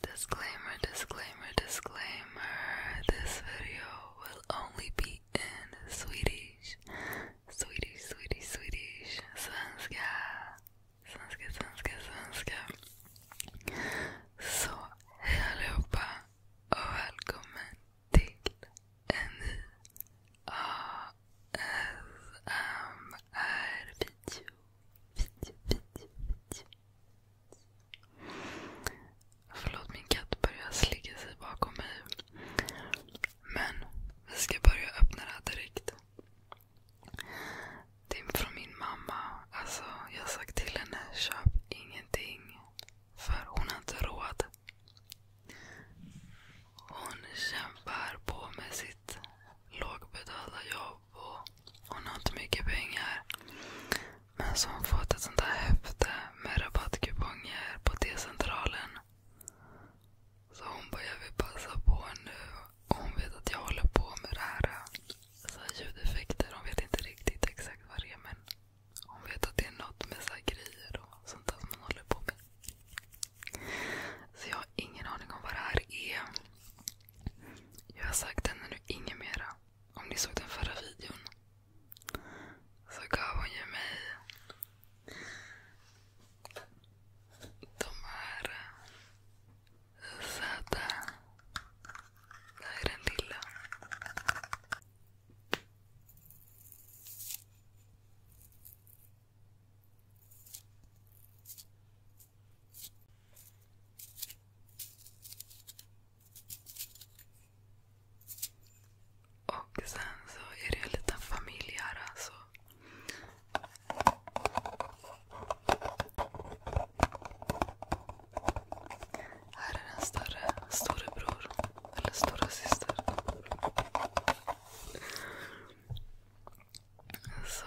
Disclaimer, disclaimer, disclaimer. This video will only be in Swedish. Swedish, Swedish, Swedish. Svenska. Svenska, svenska, svenska. Så hej allihopa och välkommen till N-A-S-M-R-video. Förlåt, min katt börjar slicka sig bakom mig. Men vi ska börja öppna det här direkt. Det är från min mamma. Alltså, jag har sagt till henne, köp ingenting. För hon har inte råd. Hon kämpar på med sitt lågbetalda jobb och hon har inte mycket pengar. Men så har hon fått ett sånt där häfte med rabattkuponger på T-centralen. Så hon bara, jag vill passa på nu. hon vet att jag håller på med det här. Så ljudeffekter. Hon vet inte riktigt exakt vad det är men hon vet att det är något med så grejer och sånt där som hon håller på med. Så jag har ingen aning om vad det här är. Jag har sagt henne nu inget mera. Om ni såg den förra videon så gav hon ju mig de här eh, söta. Det här är den lilla. Och sen så är det en liten familj här alltså. Här är den större storebror. Eller stora syster. Så.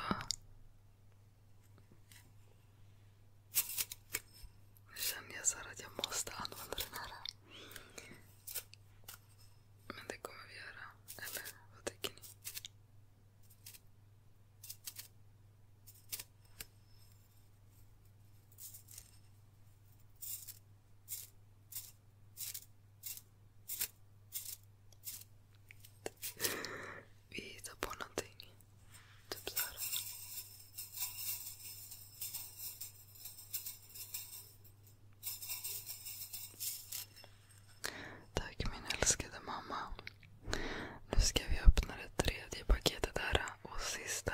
Nu känner jag så att jag måste använda den här. Men det kommer vi göra. Eller vad tycker ni? Vi hittar på någonting. Typ så här. Tack min älskade mamma. Nu ska vi öppna det tredje paketet här och sista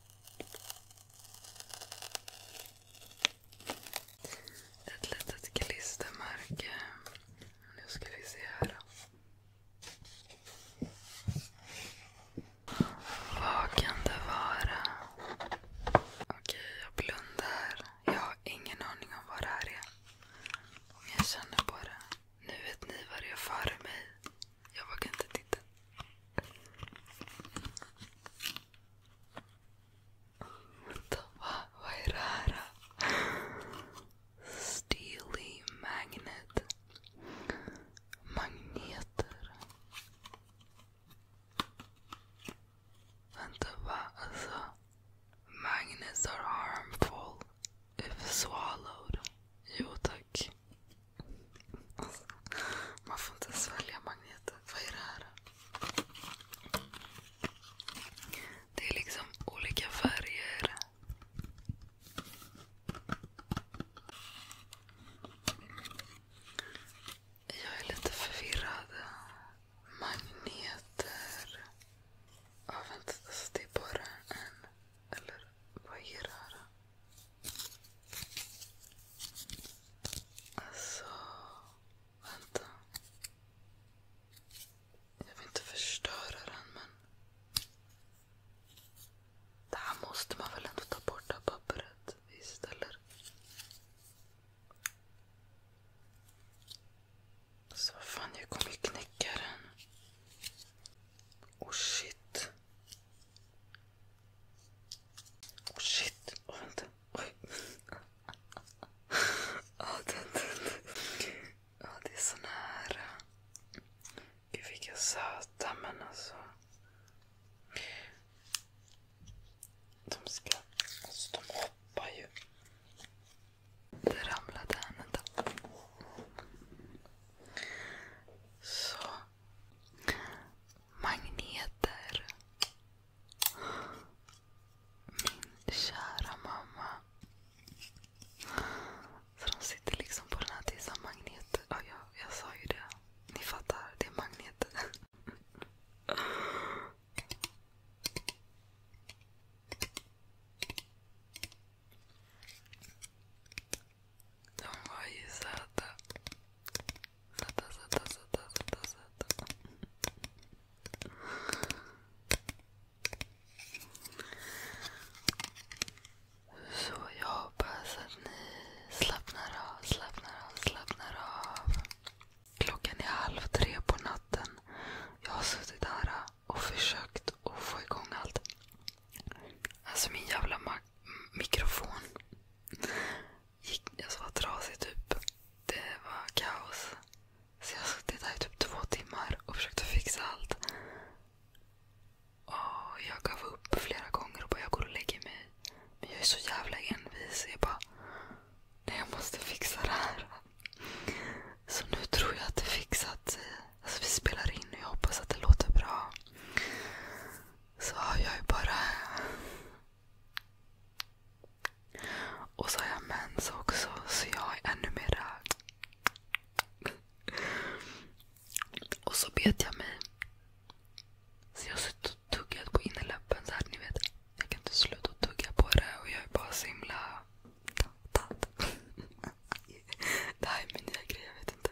Ett litet klistermärke. Nu ska vi se här. Vad kan det vara? Okej, jag blundar. Jag har ingen aning om vad det här är. Men jag känner på det. Nu vet ni vad det är för mig. Jag vågar inte titta. Vairara Steely Magnet Magneter And the Vaasa Magnets are harmful if swallowed. Jo tack. Alltså, man får inte svälja magneter. Vad är det här? Det är liksom olika färger. Jag är lite förvirrad. Magneter. Ja, vänta. Alltså, det är bara en. Eller vad är det här? Alltså, vänta. Jag vill inte förstöra den men... Det här måste man väl ändå ta bort det här pappret? Visst eller? Alltså vad fan, jag kommer ju knäcka den. Oh shit. Oh shit, oh, vänta. Oj. oh, det är så nära. Gud vilka söta men alltså. De ska... Alltså de hoppar ju. Det ramlade en. Vänta. Så. Magneter. Min kära mamma. Så de sitter liksom på den här tissan magneter. Ja, jag, jag sa ju det. Ni fattar, det är magneter. De var ju söta. Sätta, sätta, sätta, sätta, sätta. Så jag hoppas att ni slappnar av, slappnar av, slappnar av. Klockan är halv tre på natten. Jag har suttit här och försökt att få igång allt. Alltså min jävla mikrofon gick, alltså var trasig typ. Det var kaos. Så jag satt där i typ två timmar och försökte fixa allt. Och jag gav upp flera gånger och bara jag går och lägger mig. Men jag är så jävla envis. Jag bara, nej jag måste fixa det här. Så nu tror jag att det fixat sig. Alltså vi spelar in och jag hoppas att det låter bra. Så jag är bara och så har jag mens också, så jag är ännu mera... Och så bet jag mig. Så jag har suttit och tuggat på innerläppen så här, ni vet. Jag kan inte sluta tugga på det och jag är bara så himla... Det här är min nya grej, jag vet inte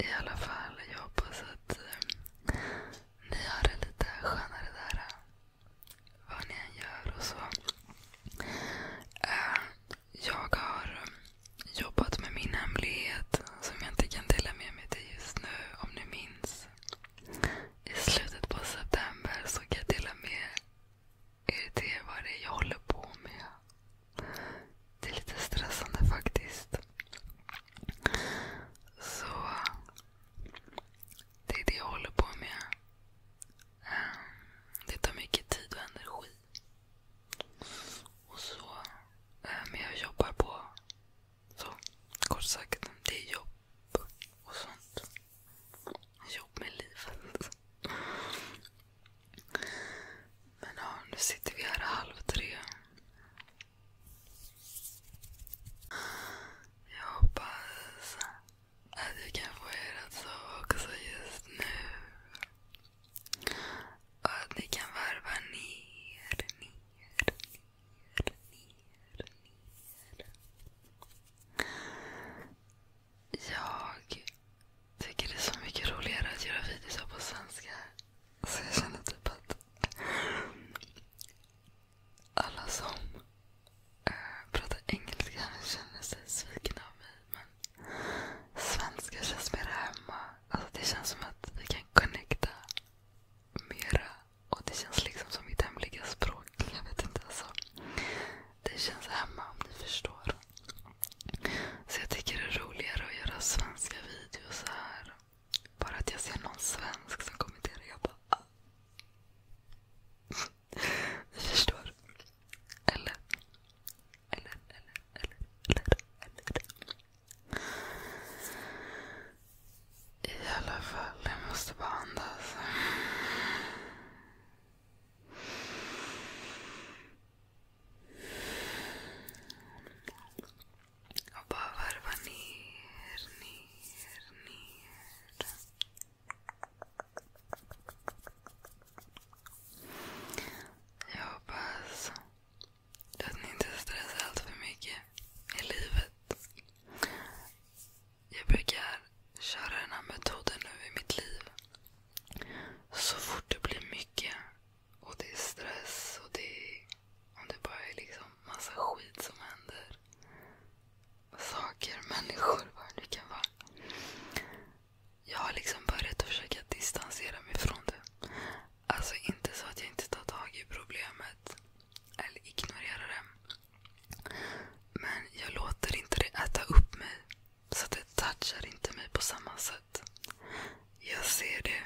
i alla fall, jag hoppas att eh, ni har det lite skönare där. Eh, vad ni än gör och så. Eh, jag har eh, jobbat med min hemlighet som jag inte kan dela med mig till just nu, om ni minns. I slutet på september så kan jag dela med er till vad det är jag håller på med. Det är lite stressande faktiskt. Så det är det jag håller på med. Ehm, det tar mycket tid och energi. men ehm, jag jobbar på. kort sagt, det är jobb och sånt. Jobb med livet. Men nu sitter vi här halv tre. Jag hoppas att jag kan få er att sova också just nu. Och att ni kan varva ner, Jag tycker det är så mycket roligare att göra videos på svenska så jag känner typ att alla som eh, pratar engelska känner sig svikna av mig. Men svenska känns mer hemma. Alltså det känns som att vi kan connecta mera. Och det känns liksom som mitt hemliga språk. Jag vet inte alltså. Det känns hemma om ni förstår. Så jag tycker det är roligare att göra svenska videos här. Bara att jag ser någon svensk som kommenterar. Jag bara... Ah. Ni förstår. Eller, eller, eller, eller, eller, eller. I alla fall, jag måste bara andas. Och bara varva ner, ner, ner. Jag hoppas att ni inte stressar allt för mycket i livet. Jag brukar köra den här metoden nu i mitt liv. Så fort det blir mycket och det är stress och det är, om det bara är liksom massa skit som händer. Saker, människor, vad det nu kan vara. Jag har liksom börjat att försöka distansera mig från det. Alltså inte så att jag inte tar tag i problemet eller ignorerar det. Men jag låter inte det äta upp mig. Så det touchar inte mig på samma sätt. Jag ser det.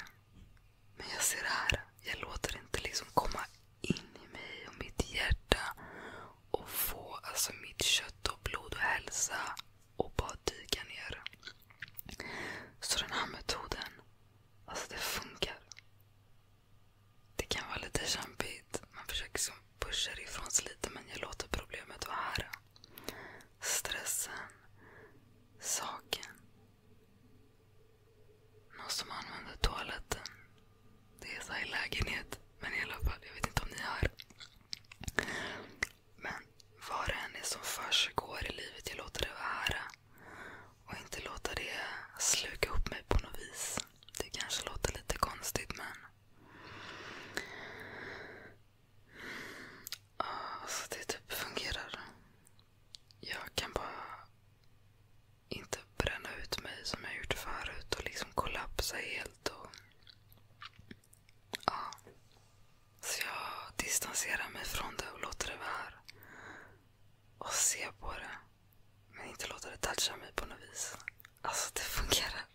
Men jag ser här. Jag låter inte liksom komma in i mig och mitt hjärta och få alltså mitt kött och blod och hälsa och bara dyka ner. Så den här metoden, alltså det funkar. Det kan vara lite kämpigt. Man försöker liksom pusha det ifrån sig lite men jag låter problemet vara här. Stressen, saken, Måste man använda toaletten? Det är så i lägenhet. Men i alla fall, jag vet inte om ni har. Men vad det än är som försiggår i livet, jag låter det vara. Och inte låta det sluka upp mig på något vis. Det kanske låter lite konstigt men Alltså det typ fungerar. Jag kan bara inte bränna ut mig som jag gjort förut och liksom kollapsa helt. Och, ja. Så jag distanserar mig från det och låter det vara. Och ser på det. Men inte låter det toucha mig på något vis. Alltså det fungerar.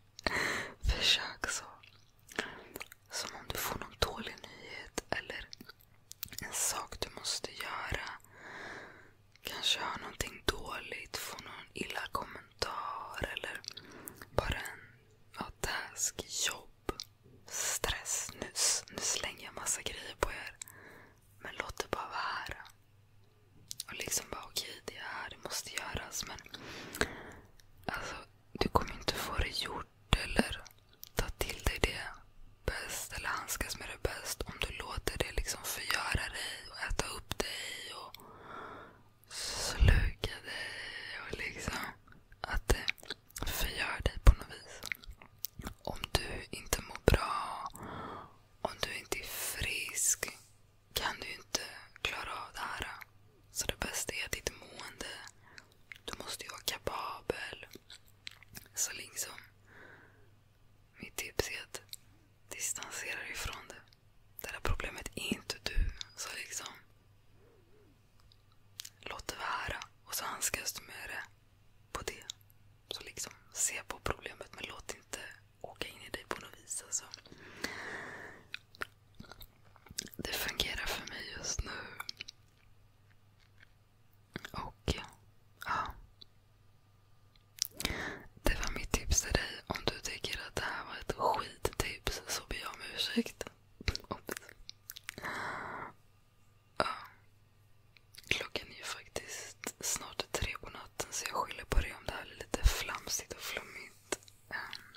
Försök så. Som om du får någon dålig nyhet eller en sak du måste göra. Kanske hör någonting dåligt, får någon illa kommentar eller bara en ja, task, jobb, stress. Nu, nu slänger jag massa grejer på er. Men låt det bara vara här. Och liksom bara okej, okay, det är här, det måste göras. Men alltså, du kommer inte få det gjort bort eller ta till dig det bäst eller handskas med det bäst om du låter det liksom förgöra dig och äta upp dig och sluka dig och liksom att det förgör dig på något vis. Om du inte mår bra, om du inte är frisk kan du inte klara av det här. Så det bästa är att ditt mående du måste ju vara kapabel. Så liksom, mitt tips är att distansera dig från det. Det där problemet är inte du. Så liksom, låt det vara. Och så handskas du med det på det. Så liksom, se på problemet men låt inte åka in i dig på något vis. Alltså. Det fungerar för mig just nu. Och ja. Det var mitt tips till dig. Om du tycker att det här var ett skittips så ber jag om ursäkt. Klockan är ju faktiskt snart tre på natten så jag skyller på det om det här är lite flamsigt och flummigt. Ehm.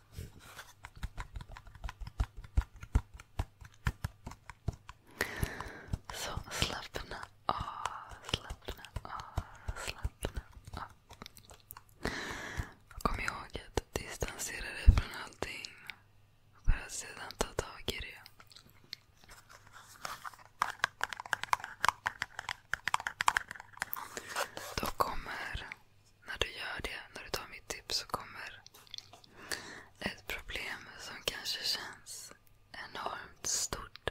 Så slappna av, slappna av, slappna av. Kom ihåg att distansera dig från allting för att sedan ta tag i det. Då kommer när du gör det, när du tar mitt tips, så kommer ett problem som kanske känns enormt stort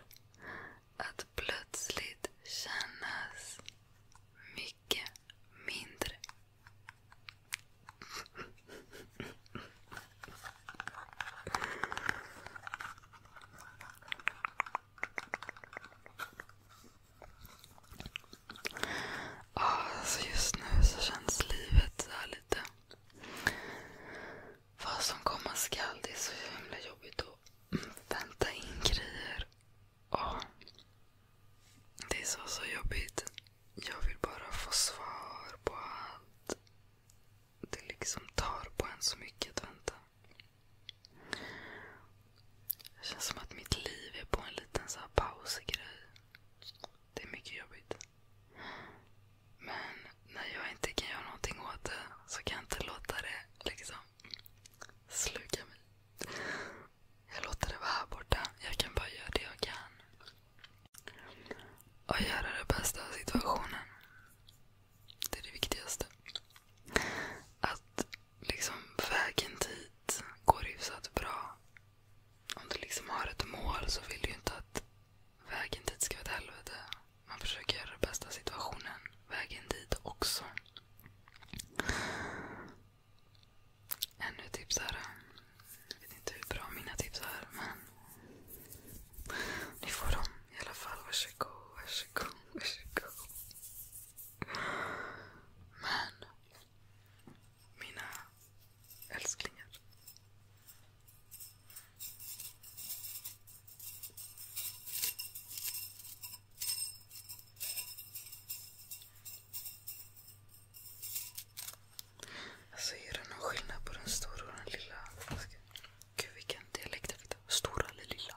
att plötsligt kännas mycket mindre. Alltså just nu så känns livet så här lite... Vad som komma skall. Det är så himla jobbigt att vänta in grejer. Åh, ah, det är så, så jobbigt. Jag vill bara få svar på allt. Det liksom tar på en så mycket att vänta. Det känns som att mitt liv är på en liten så här pausgrej. Det är mycket jobbigt. Men när jag inte kan göra någonting åt det så kan jag inte låta det liksom sluka mig. Jag låter det vara här borta. Jag kan bara göra det jag kan. Och göra det bästa av situationen. Det är det viktigaste. Att liksom vägen dit går hyfsat bra. Om du liksom har ett mål så vill du ju inte att vägen dit ska vara ett helvete. Man försöker göra det bästa situationen vägen dit också. Ännu ett tips här. Jag vet inte hur bra mina tips är men ni får dem i alla fall. Varsågod, varsågod, varsågod. Men mina älsklingar. Alltså är det någon skillnad på den stora och den lilla? Gud vilken dialekt jag fick. Stora eller lilla?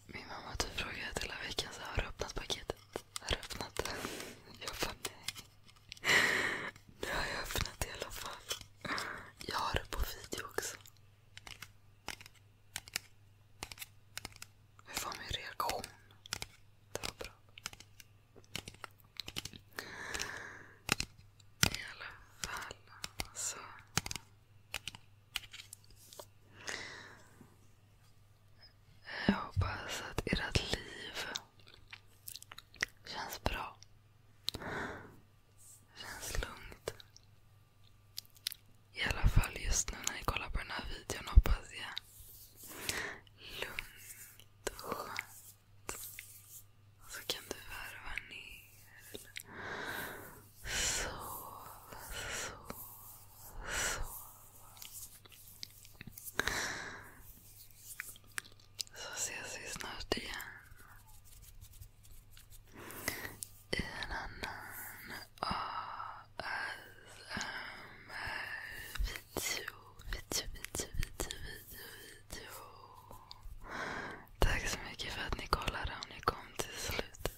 Min mamma typ frågade hela veckan så har du öppnat paketet. Har du öppnat det? Jag bara nej. Det har jag öppnat i alla fall. Jag har det på video också. Hur var min reaktion? Det var bra. I alla fall. Så alltså. Jag hoppas att ert liv känns bra. Känns lugnt. I alla fall just nu när ni kollar på den här videon hoppas jag. Lugnt skönt. så kan du värva ner så, så, så. Så ses vi snart igen. I en annan ASMR-video, video, video, video, video, video. Tack så mycket för att ni kollade om ni kom till slutet.